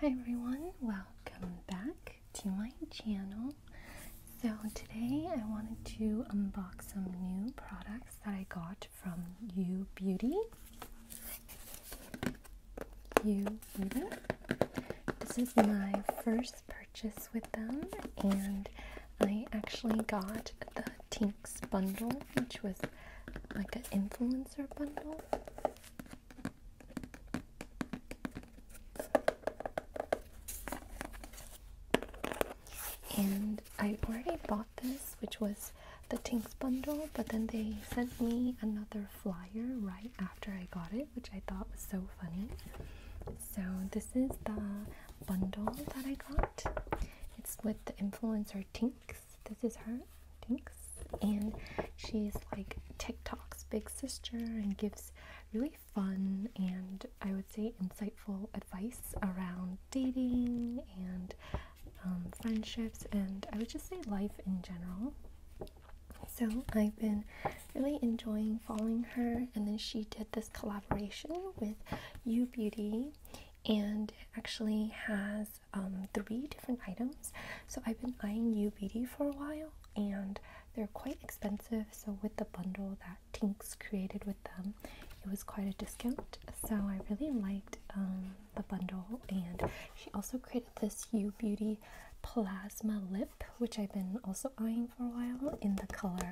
Hi everyone, welcome back to my channel. So today I wanted to unbox some new products that I got from You Beauty. You Beauty. This is my first purchase with them and I actually got the Tinks bundle which was like an influencer bundle and I already bought this, which was the Tinks bundle, but then they sent me another flyer right after I got it, which I thought was so funny. So, this is the bundle that I got. It's with the influencer Tink this is her, Tinks. And she's like TikTok's big sister and gives really fun and I would say insightful advice around dating and um, friendships and I would just say life in general. So I've been really enjoying following her, and then she did this collaboration with You Beauty and actually has um, three different items. So I've been eyeing Beauty for a while and they're quite expensive. So with the bundle that Tinks created with them, it was quite a discount. So I really liked um, the bundle and she also created this U Beauty Plasma Lip, which I've been also eyeing for a while in the color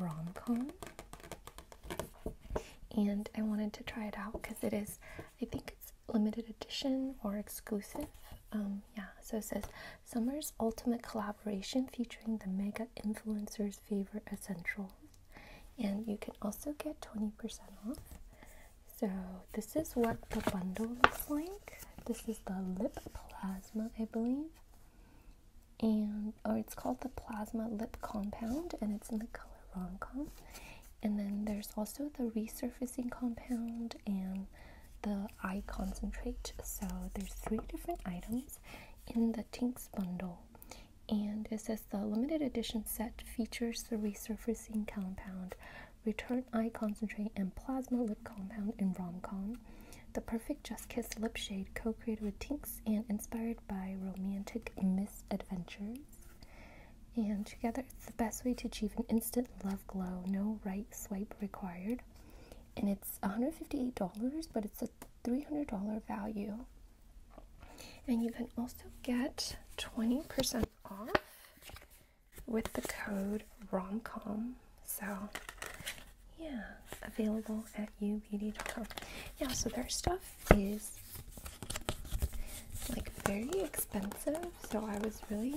Romcom, And I wanted to try it out because it is I think it's limited edition or exclusive. Um, yeah, so it says Summer's Ultimate Collaboration featuring the mega influencers' favorite essentials. And you can also get 20% off. So, this is what the bundle looks like. This is the lip plasma, I believe. And, or it's called the plasma lip compound, and it's in the color rom and then there's also the resurfacing compound and the eye concentrate. So there's three different items in the Tinks bundle. And it says the limited edition set features the resurfacing compound, return eye concentrate, and plasma lip compound in com, The perfect Just Kiss lip shade co created with Tinks and inspired by romantic misadventures. And together, it's the best way to achieve an instant love glow. No right swipe required. And it's $158, but it's a $300 value. And you can also get 20% off with the code ROMCOM. So, yeah, available at ubeauty.com. Yeah, so their stuff is like very expensive so I was really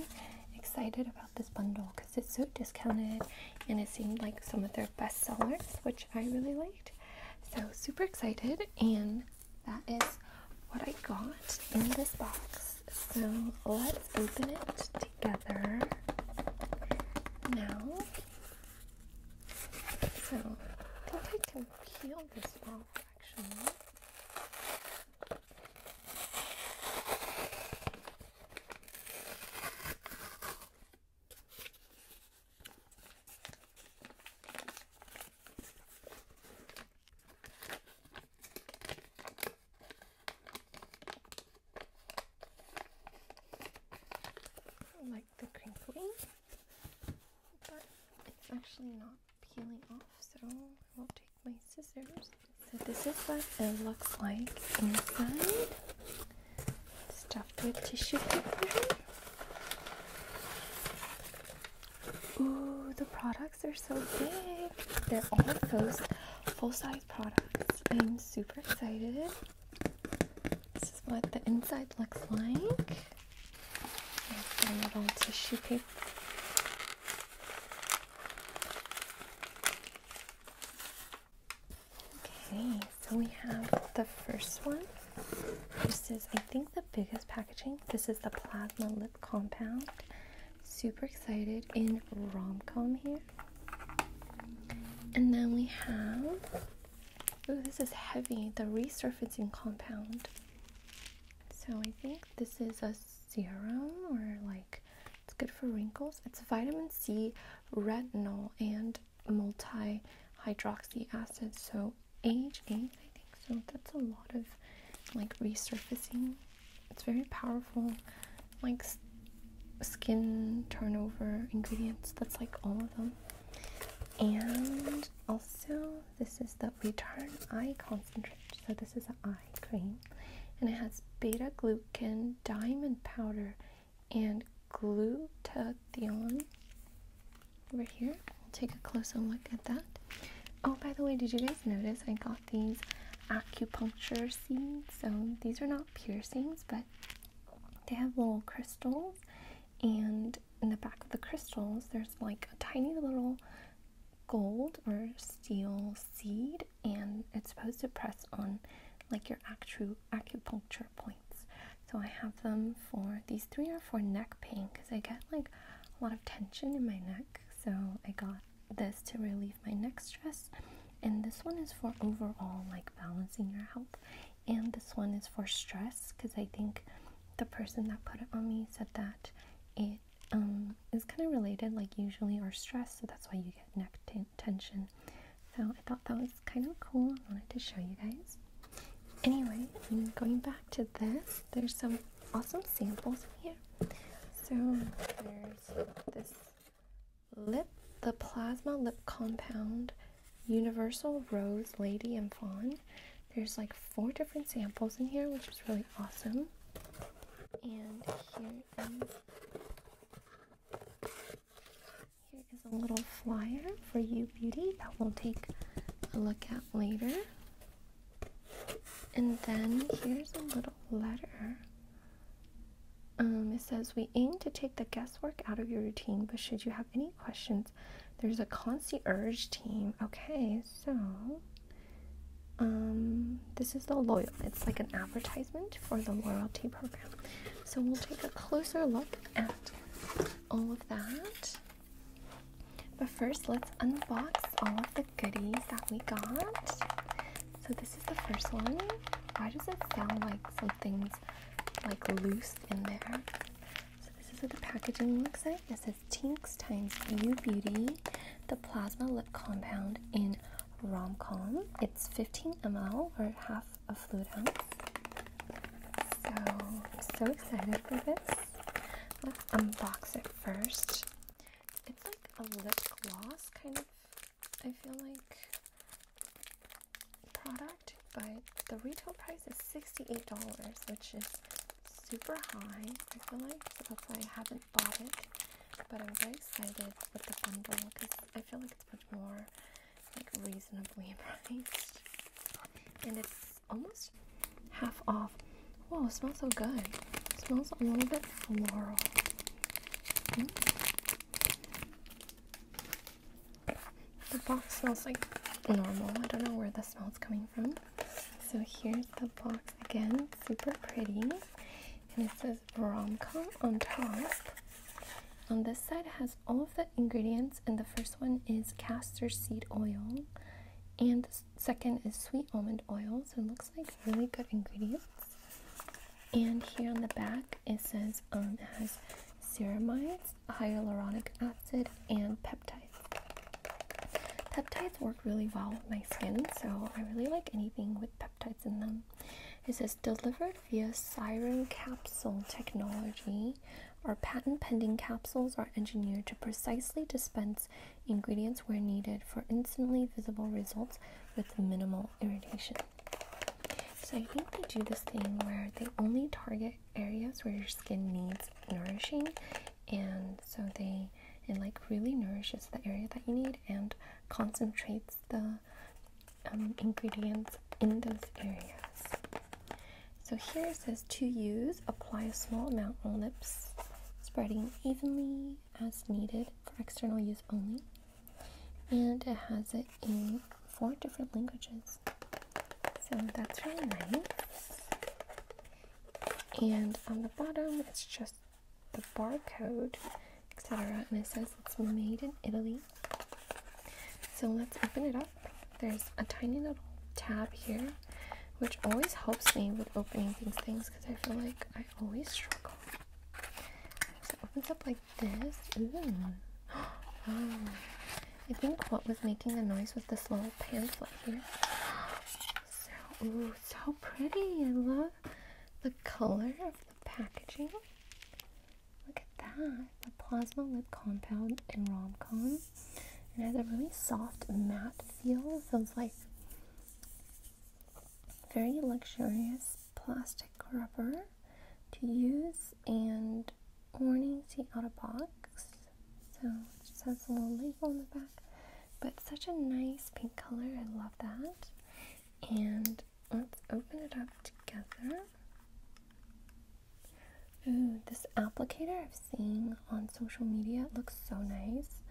excited about this bundle because it's so discounted and it seemed like some of their best sellers, which I really liked. So super excited, and that is what I got in this box. So let's open it together now. So I think I can peel this off actually. I like the crinkling, but it's actually not peeling off, so I will take my scissors. So this is what it looks like inside. Stuffed with tissue paper. Ooh, the products are so big. They're all those full-size products. I'm super excited. This is what the inside looks like. little tissue paper. Okay, so we have the first one. This is, I think, the biggest packaging. This is the Plasma Lip Compound. Super excited in rom-com here. And then we have, oh, this is heavy, the resurfacing compound. So I think this is a serum or like it's good for wrinkles. It's vitamin C, retinol, and multi hydroxy acids. So age age. I think. So that's a lot of like resurfacing. It's very powerful, like skin turnover ingredients. That's like all of them. And also this is the Return Eye Concentrate. So this is an eye cream. And it has beta-glucan, diamond powder, and glutathione over here. We'll take a closer look at that. Oh, by the way, did you guys notice I got these acupuncture seeds? So these are not piercings, but they have little crystals. And in the back of the crystals, there's like a tiny little gold or steel seed and it's supposed to press on like your actu acupuncture points so i have them for these three are for neck pain because i get like a lot of tension in my neck so i got this to relieve my neck stress and this one is for overall like balancing your health and this one is for stress because i think the person that put it on me said that it it um, is kind of related, like usually are stressed, so that's why you get neck tension. So I thought that was kind of cool. I wanted to show you guys. Anyway, I'm going back to this. There's some awesome samples in here. So there's this lip, the plasma lip compound, Universal Rose Lady and Fawn. There's like four different samples in here, which is really awesome. And um, here is, a little flyer for you, beauty, that we'll take a look at later. And then here's a little letter. Um, it says, We aim to take the guesswork out of your routine, but should you have any questions, there's a concierge team. Okay, so um, this is the loyalty. It's like an advertisement for the loyalty program. So we'll take a closer look at all of that. But first, let's unbox all of the goodies that we got. So this is the first one. Why does it sound like something's like loose in there? So this is what the packaging looks like palette. This is Tinks times You Beauty, the Plasma Lip Compound in Rom-Com. It's 15 ml or half a fluid ounce. So I'm so excited for this. Let's unbox it first. It's like a lip gloss kind of, I feel like, product, but the retail price is $68, which is super high, I feel like, so that's why I haven't bought it, but I'm very excited with the bundle because I feel like it's much more like reasonably priced, and it's almost half off. Whoa, smells so good. smells a little bit floral. Mm. The box smells like normal. I don't know where the smell's coming so here's the box again, super pretty. And it says rom on top. On this side it has all of the ingredients and the first one is castor seed oil and the second is sweet almond oil. So it looks like really good ingredients. And here on the back it says um, it has ceramides, hyaluronic acid, and peptides. Peptides work really well with my skin, so I really like anything with peptides in them. It says delivered via siren capsule technology. Our patent pending capsules are engineered to precisely dispense ingredients where needed for instantly visible results with minimal irritation. So I think they do this thing where they only target areas where your skin needs nourishing and so they it like really nourishes the area that you need and concentrates the um, ingredients in those areas. So here it says to use, apply a small amount on lips, spreading evenly as needed for external use only. And it has it in four different languages. So that's really nice. And on the bottom, it's just the barcode, etc. And it says it's made in Italy. So let's open it up. There's a tiny little tab here, which always helps me with opening these things because I feel like I always struggle. So it opens up like this. Oh. I think what was making the noise was this little pamphlet here. So, ooh, so pretty. I love the color of the packaging. Look at that. The Plasma Lip Compound in Romcom. It has a really soft matte feel. Feels like very luxurious plastic rubber to use and warning see out of box. So it just has a little label on the back. But such a nice pink color, I love that. And let's open it up together. Ooh, this applicator I've seen on social media it looks so nice.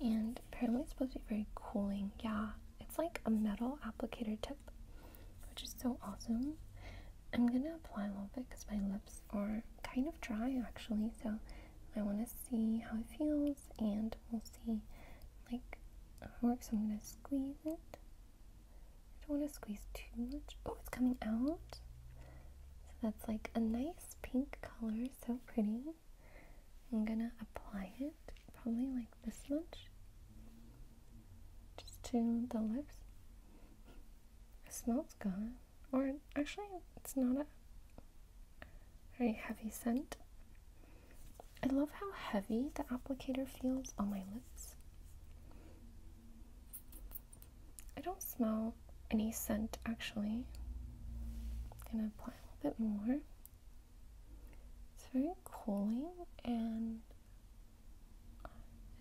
And apparently it's supposed to be very cooling. Yeah, it's like a metal applicator tip, which is so awesome. I'm gonna apply a little bit because my lips are kind of dry actually, so I want to see how it feels, and we'll see like work. So I'm gonna squeeze it. I don't want to squeeze too much. Oh, it's coming out. So that's like a nice pink color, so pretty. I'm gonna apply it probably like this much, just to the lips. It smells good, or Actually, it's not a very heavy scent. I love how heavy the applicator feels on my lips. I don't smell any scent actually. gonna apply a bit more. It's very cooling and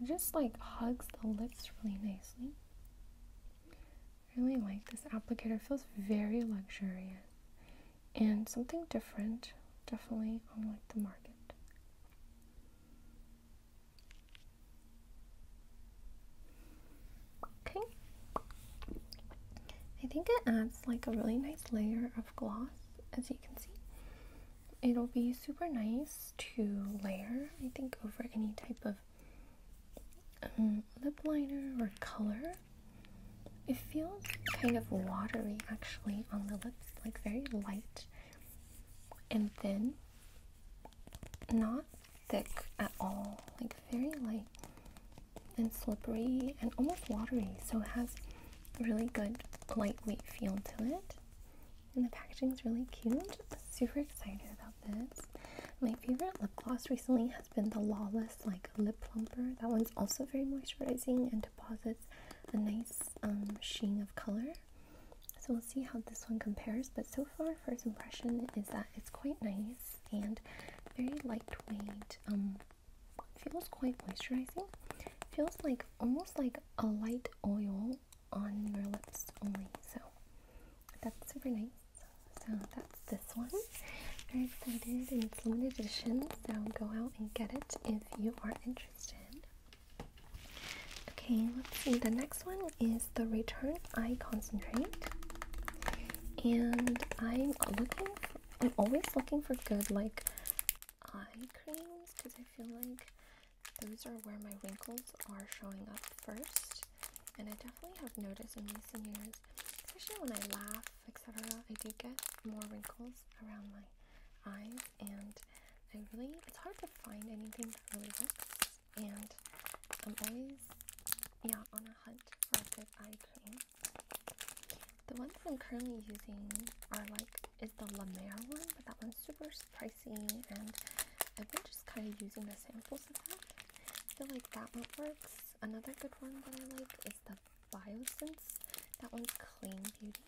it just like hugs the lips really nicely really like this applicator. feels very luxurious and something different, definitely unlike the market. Okay. I think it adds like a really nice layer of gloss, as you can see. It'll be super nice to layer, I think, over any type of um, lip liner or color it feels kind of watery actually on the lips, like very light and thin. Not thick at all, like very light and slippery and almost watery. So it has really good lightweight feel to it. And the packaging is really cute. Super excited about this. My favorite lip gloss recently been the Lawless like lip plumper. That one's also very moisturizing and deposits a nice um, sheen of color. So we'll see how this one compares. But so far, first impression is that it's quite nice and very lightweight. Um, feels quite moisturizing. Feels like almost like a light oil on your lips only. So that's super nice. So that's this one. Very excited and it's limited edition, so go out and get it if you are interested. Okay, let's see. The next one is the Return Eye Concentrate. And I'm looking I'm always looking for good like eye creams because I feel like those are where my wrinkles are showing up first and I definitely have noticed in recent years, especially when I laugh, etc., I do get more wrinkles around my eyes, and I really, it's hard to find anything that really works, and I'm always, yeah, on a hunt for a good eye cream. The ones I'm currently using are like, is the La Mer one, but that one's super pricey, and I've been just kind of using the samples of that. I feel like that one works, Another good one that I like is the Biosense. That one's Clean Beauty.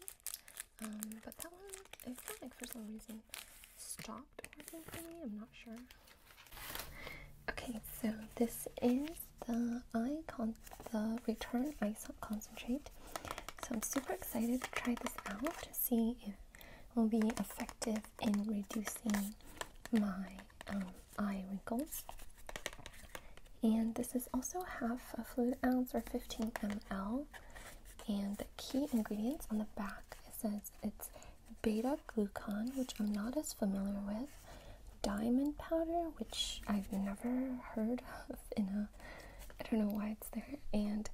Um, but that one, I feel like for some reason stopped working for me. I'm not sure. Okay, so this is the eye the Return Eye Concentrate. So I'm super excited to try this out to see if it will be effective in reducing my eye wrinkles. And this is also half a fluid ounce or 15 ml. And the key ingredients on the back it says it's beta glucan, which I'm not as familiar with, diamond powder, which I've never heard of in a I don't know why it's there, and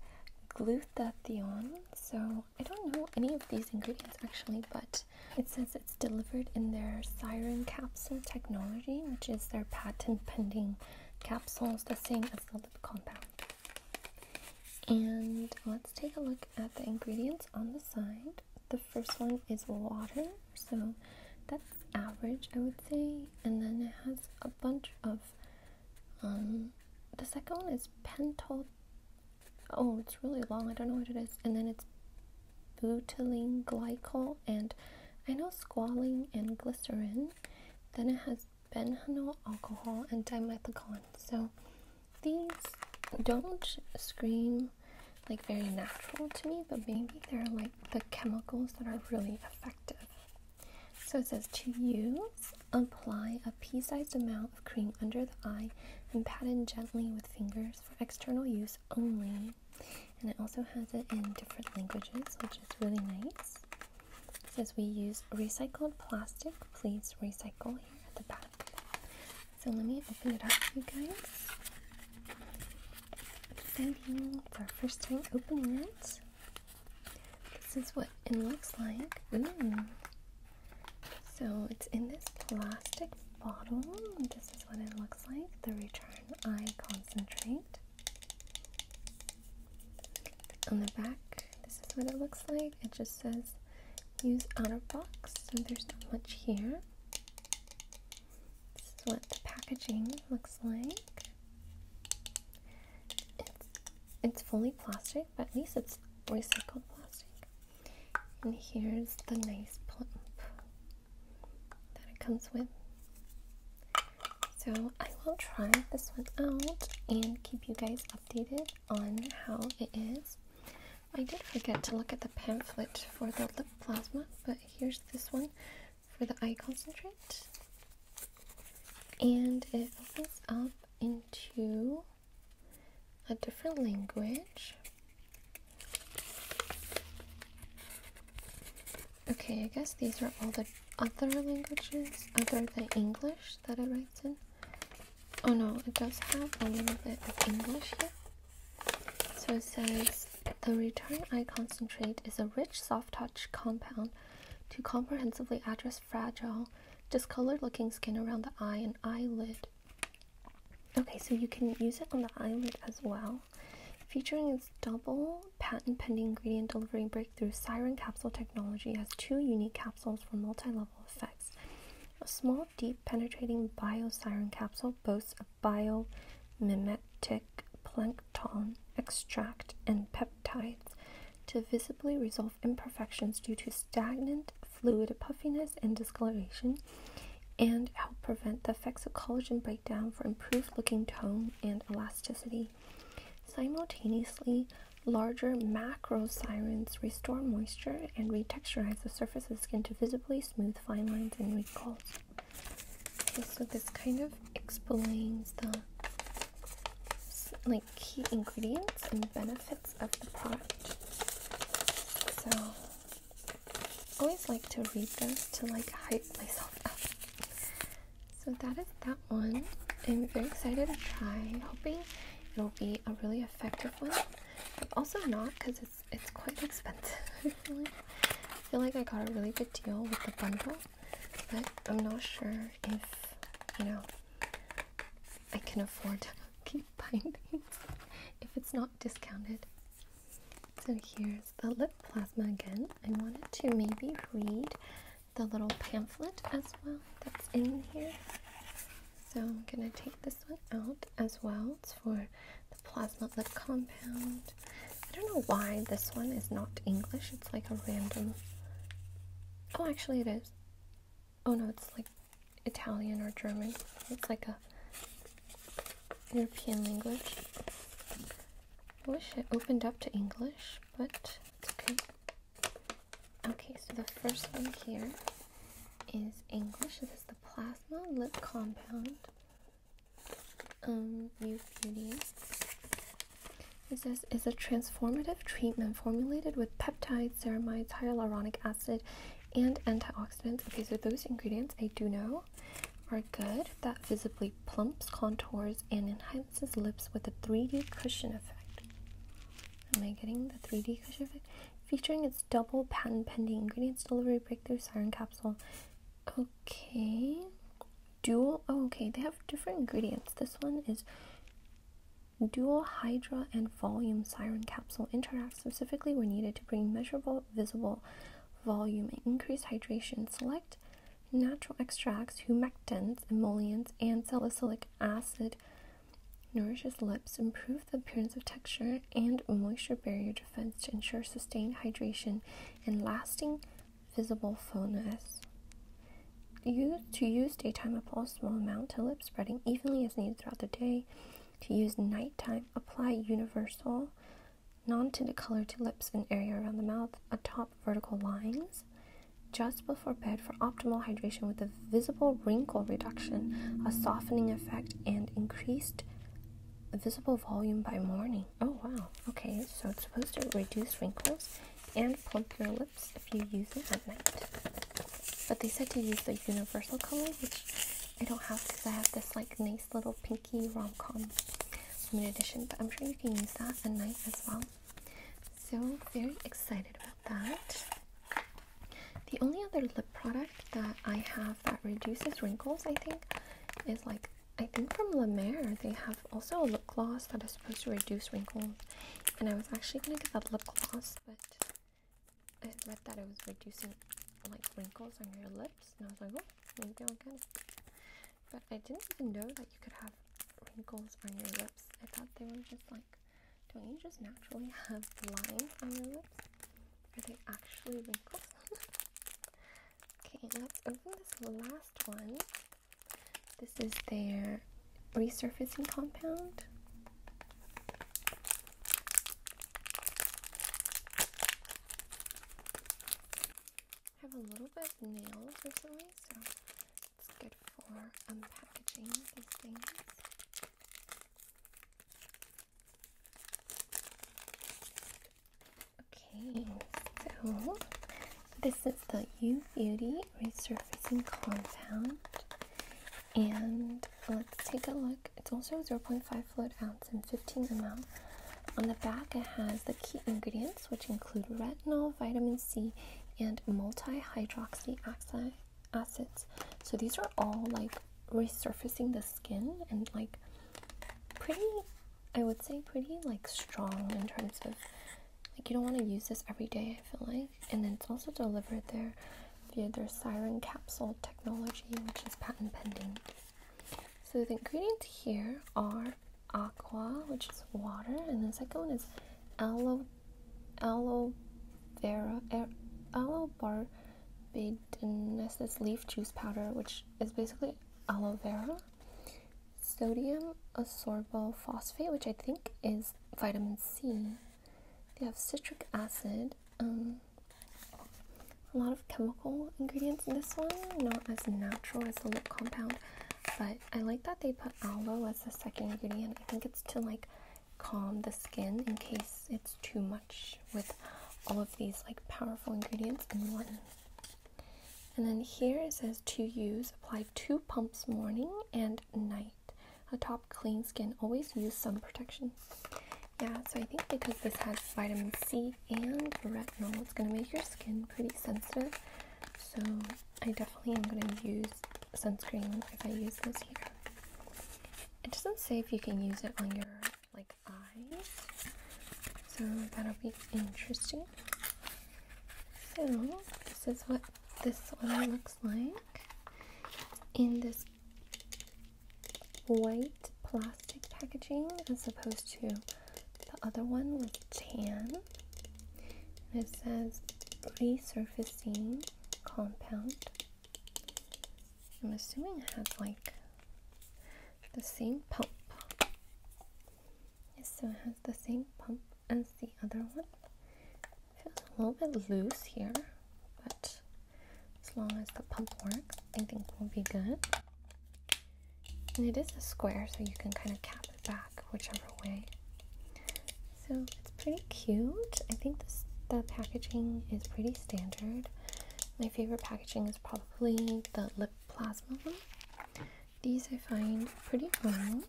glutathione. So I don't know any of these ingredients actually, but it says it's delivered in their Siren capsule technology, which is their patent pending capsules, the same as the lip compound. And let's take a look at the ingredients on the side. The first one is water, so that's average, I would say. And then it has a bunch of, um, the second one is pentol oh, it's really long. I don't know what it is. And then it's butylene glycol, and I know squalene and glycerin. Then it has benzyl alcohol and dimethicone. So these don't scream like very natural to me, but maybe they're like the chemicals that are really effective. So it says to use, apply a pea-sized amount of cream under the eye and pat in gently with fingers for external use only. And it also has it in different languages, which is really nice. It says we use recycled plastic. Please recycle here at the back. So let me open it up, you guys. Exciting. It's our first time opening it. This is what it looks like. Ooh. Mm. So it's in this plastic bottle. This is what it looks like, the return I concentrate. On the back, this is what it looks like. It just says use out of box, so there's not much here. This is what the packaging looks like. It's, it's fully plastic, but at least it's recycled plastic. And here's the nice pump that it comes with. So I will try this one out and keep you guys updated on how it is. I did forget to look at the pamphlet for the lip plasma, but here's this one for the eye concentrate. And it opens up into a different language. Okay, I guess these are all the other languages other than English that I write in. Oh no, it does have a little bit of English here. So it says, the return eye concentrate is a rich soft touch compound to comprehensively address fragile, discolored looking skin around the eye and eyelid Okay, so you can use it on the eyelid as well. Featuring its double patent pending ingredient delivering breakthrough, Siren Capsule Technology has two unique capsules for multi level effects. A small, deep, penetrating bio siren capsule boasts a biomimetic plankton extract and peptides to visibly resolve imperfections due to stagnant fluid puffiness and discoloration, and help prevent the effects of collagen breakdown for improved looking tone and elasticity. Simultaneously, larger macro macrocyrins restore moisture and retexturize the surface of the skin to visibly smooth fine lines and wrinkles. Okay, so this kind of explains the like key ingredients and benefits of the product. So always like to read them to like hype myself up. So that is that one. I'm very excited to try, hoping it'll be a really effective one. but also not because it's it's quite expensive. I feel like I got a really good deal with the bundle, but I'm not sure if you know I can afford to keep buying things if it's not discounted. So here's the lip plasma again. I wanted to maybe read the little pamphlet as well that's in here. So I'm going to take this one out as well. It's for the plasma lip compound. I don't know why this one is not English. It's like a random... Oh, actually it is. Oh no, it's like Italian or German. It's like a European language. I wish it opened up to English, but okay. Okay, so the first one here is English. This is the Plasma Lip Compound um, Youth Beauty. It says, is a transformative treatment formulated with peptides, ceramides, hyaluronic acid, and antioxidants. Okay, so those ingredients I do know are good. That visibly plumps, contours, and enhances lips with a 3D cushion effect. Am I getting the 3D cushion effect? Featuring its double patent pending ingredients delivery breakthrough siren capsule. Okay. Dual, oh, okay, they have different ingredients. This one is dual hydra and volume siren capsule interact specifically were needed to bring measurable, visible volume and increased hydration. Select natural extracts, humectants, emollients, and salicylic acid nourishes lips, improve the appearance of texture and moisture barrier defense to ensure sustained hydration and lasting visible fullness. Use, to use daytime apply a small amount to lip spreading evenly as needed throughout the day. To use nighttime, apply universal non-tinted color to lips and area around the mouth atop vertical lines just before bed for optimal hydration with a visible wrinkle reduction, a softening effect, and increased visible volume by morning. Oh wow, okay, so it's supposed to reduce wrinkles and plump your lips if you use it at night. But they said to use the universal color, which I don't have because I have this like little pinky rom-com in addition, but I'm sure you can use that at night as well. So very excited about that. The only other lip product that I have that reduces wrinkles, I think, is like I think from La Mer. They have also a lip gloss that is supposed to reduce wrinkles, and I was actually gonna get that lip gloss, but I read that it was reducing like wrinkles on your lips, and I was like, oh, maybe i But I didn't even know that you could have wrinkles on your lips. I thought they were just like, don't you just naturally have lines on your lips? Are they actually wrinkles? okay, let's open this last one. This is their resurfacing compound have a little bit of nails recently, so it's good for unpackaging things. Okay, so this is the U Beauty Resurfacing Compound, and let's take a look. It's also 0.5 fluid ounce and 15 ml. On the back, it has the key ingredients, which include retinol, vitamin C, and multi hydroxy acids. So these are all like resurfacing the skin and like pretty, I would say, pretty like strong in terms of like you don't want to use this every day, I feel like. And then it's also delivered there via their siren capsule technology, which is patent pending. So the ingredients here are aqua, which is water, and the second one is aloe aloe vera er, aloe barbadensis leaf juice powder, which is basically aloe vera, sodium phosphate, which I think is vitamin C. They have citric acid, um, a lot of chemical ingredients in this one, not as natural as the lip compound, but I like that they put aloe as the second ingredient. I think it's to like calm the skin in case it's too much with all of these like powerful ingredients in one. And then here it says to use, apply two pumps morning and night. A top clean skin. Always use sun protection yeah, so I think because this has vitamin C and retinol, it's going to make your skin pretty sensitive. So I definitely am going to use sunscreen if I use this here. It doesn't say if you can use it on your like eyes, so that'll be interesting. So this is what this one looks like in this white plastic packaging as opposed to the other one with tan. And it says resurfacing compound. I'm assuming it has like the same pump. Yes, so it has the same pump as the other one. It feels a little bit loose here, but as long as the pump works, I think we'll be good. And it is a square, so you can kind of cap it back whichever way. So it's pretty cute. I think the packaging is pretty standard. My favorite packaging is probably the lip plasma one. These I find pretty fun.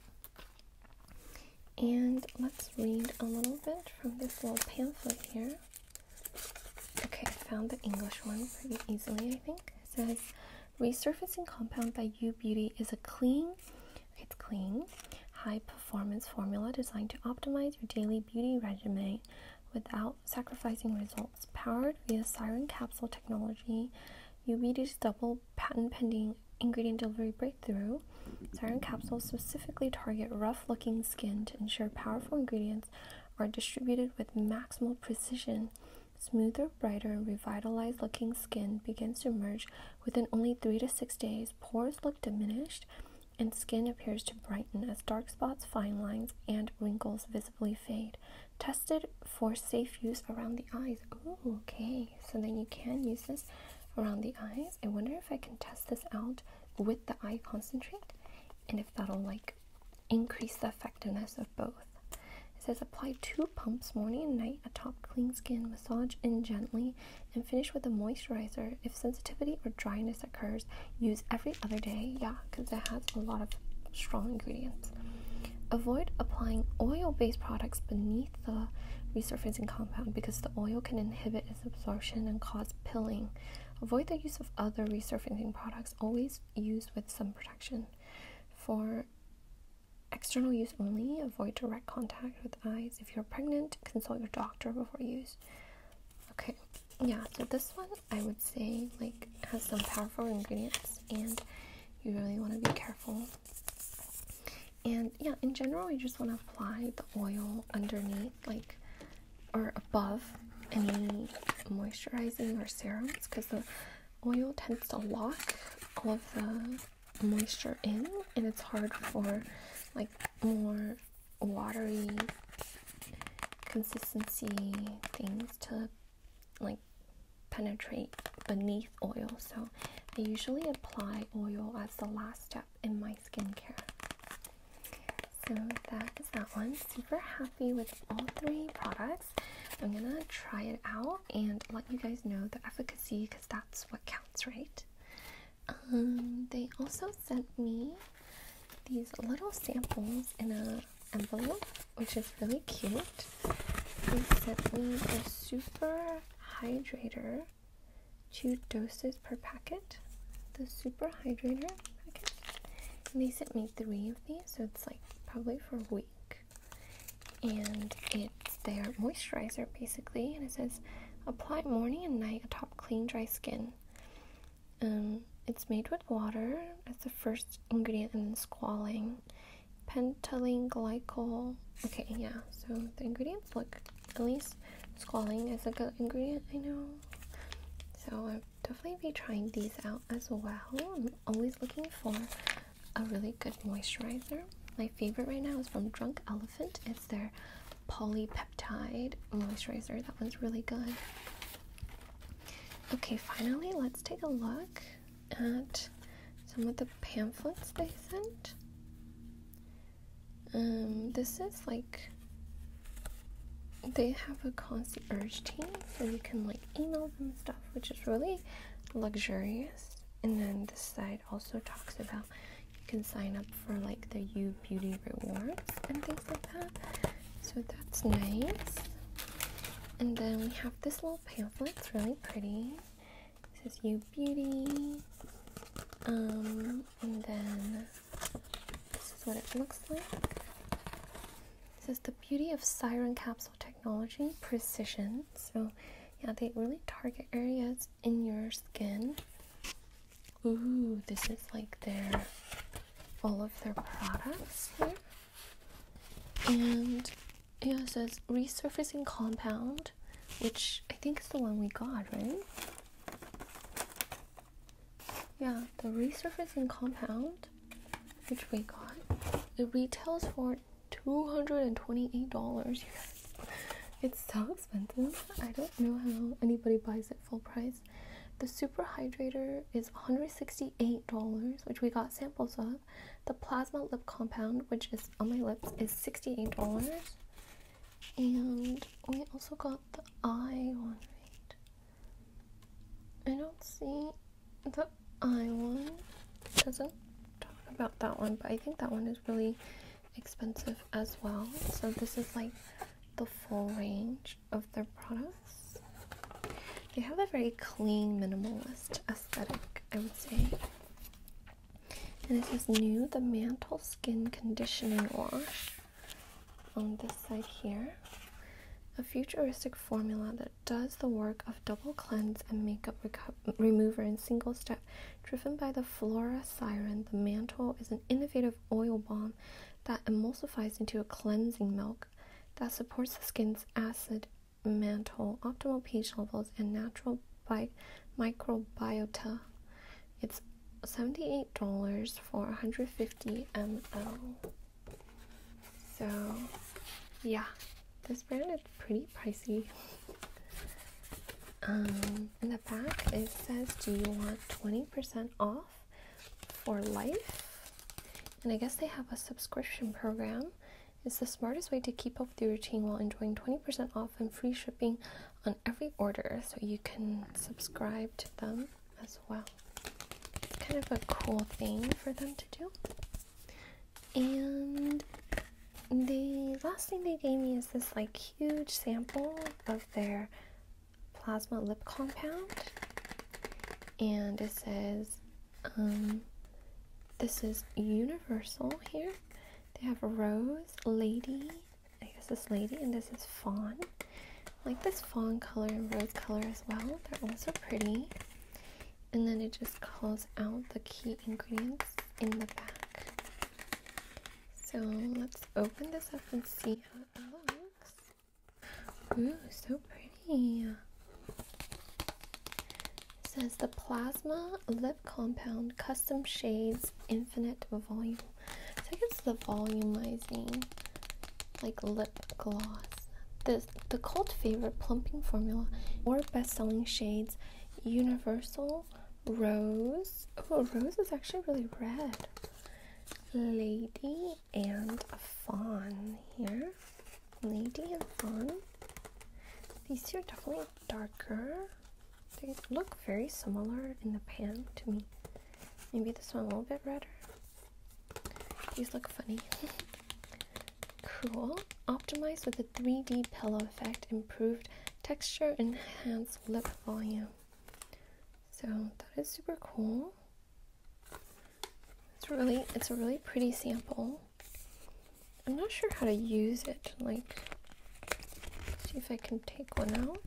And let's read a little bit from this little pamphlet here. Okay, I found the English one pretty easily, I think. It says resurfacing compound by U Beauty is a clean, it's clean, high performance formula designed to optimize your daily beauty regimen without sacrificing results. Powered via Siren Capsule technology, U Beauty's double patent pending ingredient delivery breakthrough. Siren capsules specifically target rough looking skin to ensure powerful ingredients are distributed with maximal precision, smoother, brighter, and revitalized looking skin begins to emerge within only three to six days. Pores look diminished, and skin appears to brighten as dark spots, fine lines, and wrinkles visibly fade. Tested for safe use around the eyes. okay, so then you can use this around the eyes. I wonder if I can test this out with the eye concentrate and if that'll like Increase the effectiveness of both. It says apply two pumps morning and night atop clean skin, massage in gently, and finish with a moisturizer. If sensitivity or dryness occurs, use every other day. Yeah, because it has a lot of strong ingredients. Avoid applying oil based products beneath the resurfacing compound because the oil can inhibit its absorption and cause pilling. Avoid the use of other resurfacing products, always use with some protection. For external use only, avoid direct contact with eyes. If you're pregnant, consult your doctor before use. Okay, yeah, so this one I would say like has some powerful ingredients and you really want to be careful. And yeah, in general, you just want to apply the oil underneath, like or above any moisturizing or serums because the oil tends to lock all of the moisture in and it's hard for like more watery consistency things to like penetrate beneath oil so I usually apply oil as the last step in my skincare so that is that one. Super happy with all three products. I'm gonna try it out and let you guys know the efficacy because that's what counts, right? Um, they also sent me these little samples in a envelope, which is really cute. They sent me a super hydrator, two doses per packet. The super hydrator packet they sent me three of these so it's like probably for a week and it's their moisturizer basically and it says apply morning and night atop clean dry skin um, it's made with water as the first ingredient and then squalane pentyl glycol okay yeah so the ingredients look at least squalane is a good ingredient i know so i definitely be trying these out as well. I'm always looking for a really good moisturizer. My favorite right now is from Drunk Elephant. It's their polypeptide moisturizer. That one's really good. Okay, finally, let's take a look at some of the pamphlets they sent. Um, this is like they have a concierge team so you can like email them stuff which is really luxurious and then this side also talks about you can sign up for like the U beauty rewards and things like that so that's nice and then we have this little pamphlet it's really pretty it says U beauty um and then this is what it looks like. This is the beauty of siren capsule technology, precision. So, yeah, they really target areas in your skin. Ooh, this is like their all of their products here. And yeah, it says resurfacing compound, which I think is the one we got, right? Yeah, the resurfacing compound, which we got, it retails for $228. You guys, It's so expensive. I don't know how anybody buys it full price. The super hydrator is $168, which we got samples of. The plasma lip compound, which is on my lips, is $68. And we also got the eye one, right? I don't see the eye one. doesn't talk about that one, but I think that one is really expensive as well. So this is like the full range of their products. They have a very clean minimalist aesthetic, I would say. And this is new, the Mantle Skin Conditioning Wash on this side here. A futuristic formula that does the work of double cleanse and makeup remover in single step. Driven by the Flora Siren, the mantle is an innovative oil balm that emulsifies into a cleansing milk that supports the skin's acid mantle, optimal pH levels, and natural microbiota. It's $78 for 150 ml. So, yeah, this brand is pretty pricey. Um, in the back, it says, Do you want 20% off for life? And I guess they have a subscription program. It's the smartest way to keep up with your routine while enjoying 20% off and free shipping on every order. So you can subscribe to them as well. It's kind of a cool thing for them to do. And the last thing they gave me is this like huge sample of their plasma lip compound. And it says, um, this is universal here. They have Rose, Lady, I guess this Lady, and this is Fawn like this fawn color and rose color as well. They're also pretty. And then it just calls out the key ingredients in the back. So let's open this up and see how it looks. Ooh, so pretty. says the Plasma Lip Compound Custom Shades Infinite Volume. So I guess the volumizing like lip gloss. The, the cult favorite plumping formula, or best-selling shades, Universal, Rose. Oh, Rose is actually really red. Lady and Fawn here. Lady and Fawn. These two are definitely darker. They look very similar in the pan to me. Maybe this one a little bit redder. These look funny. cool. Optimized with a 3D pillow effect, improved texture, enhanced lip volume. So that is super cool. It's really it's a really pretty sample. I'm not sure how to use it. Like see if I can take one out.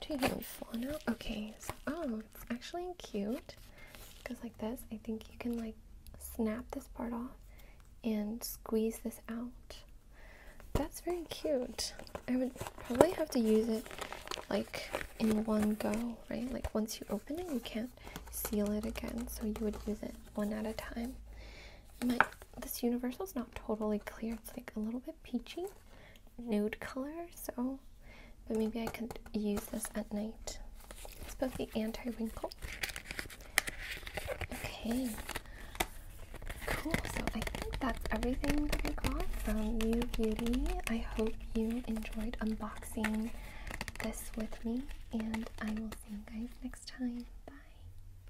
Two hands full now. Okay, oh, it's actually cute. Goes like this. I think you can like snap this part off and squeeze this out. That's very cute. I would probably have to use it like in one go, right? Like once you open it, you can't seal it again, so you would use it one at a time this universal is not totally clear. It's like a little bit peachy, nude color. So, but maybe I could use this at night. It's both the anti wrinkle. Okay. Cool. So I think that's everything that I got from You Beauty. I hope you enjoyed unboxing this with me, and I will see you guys next time. Bye.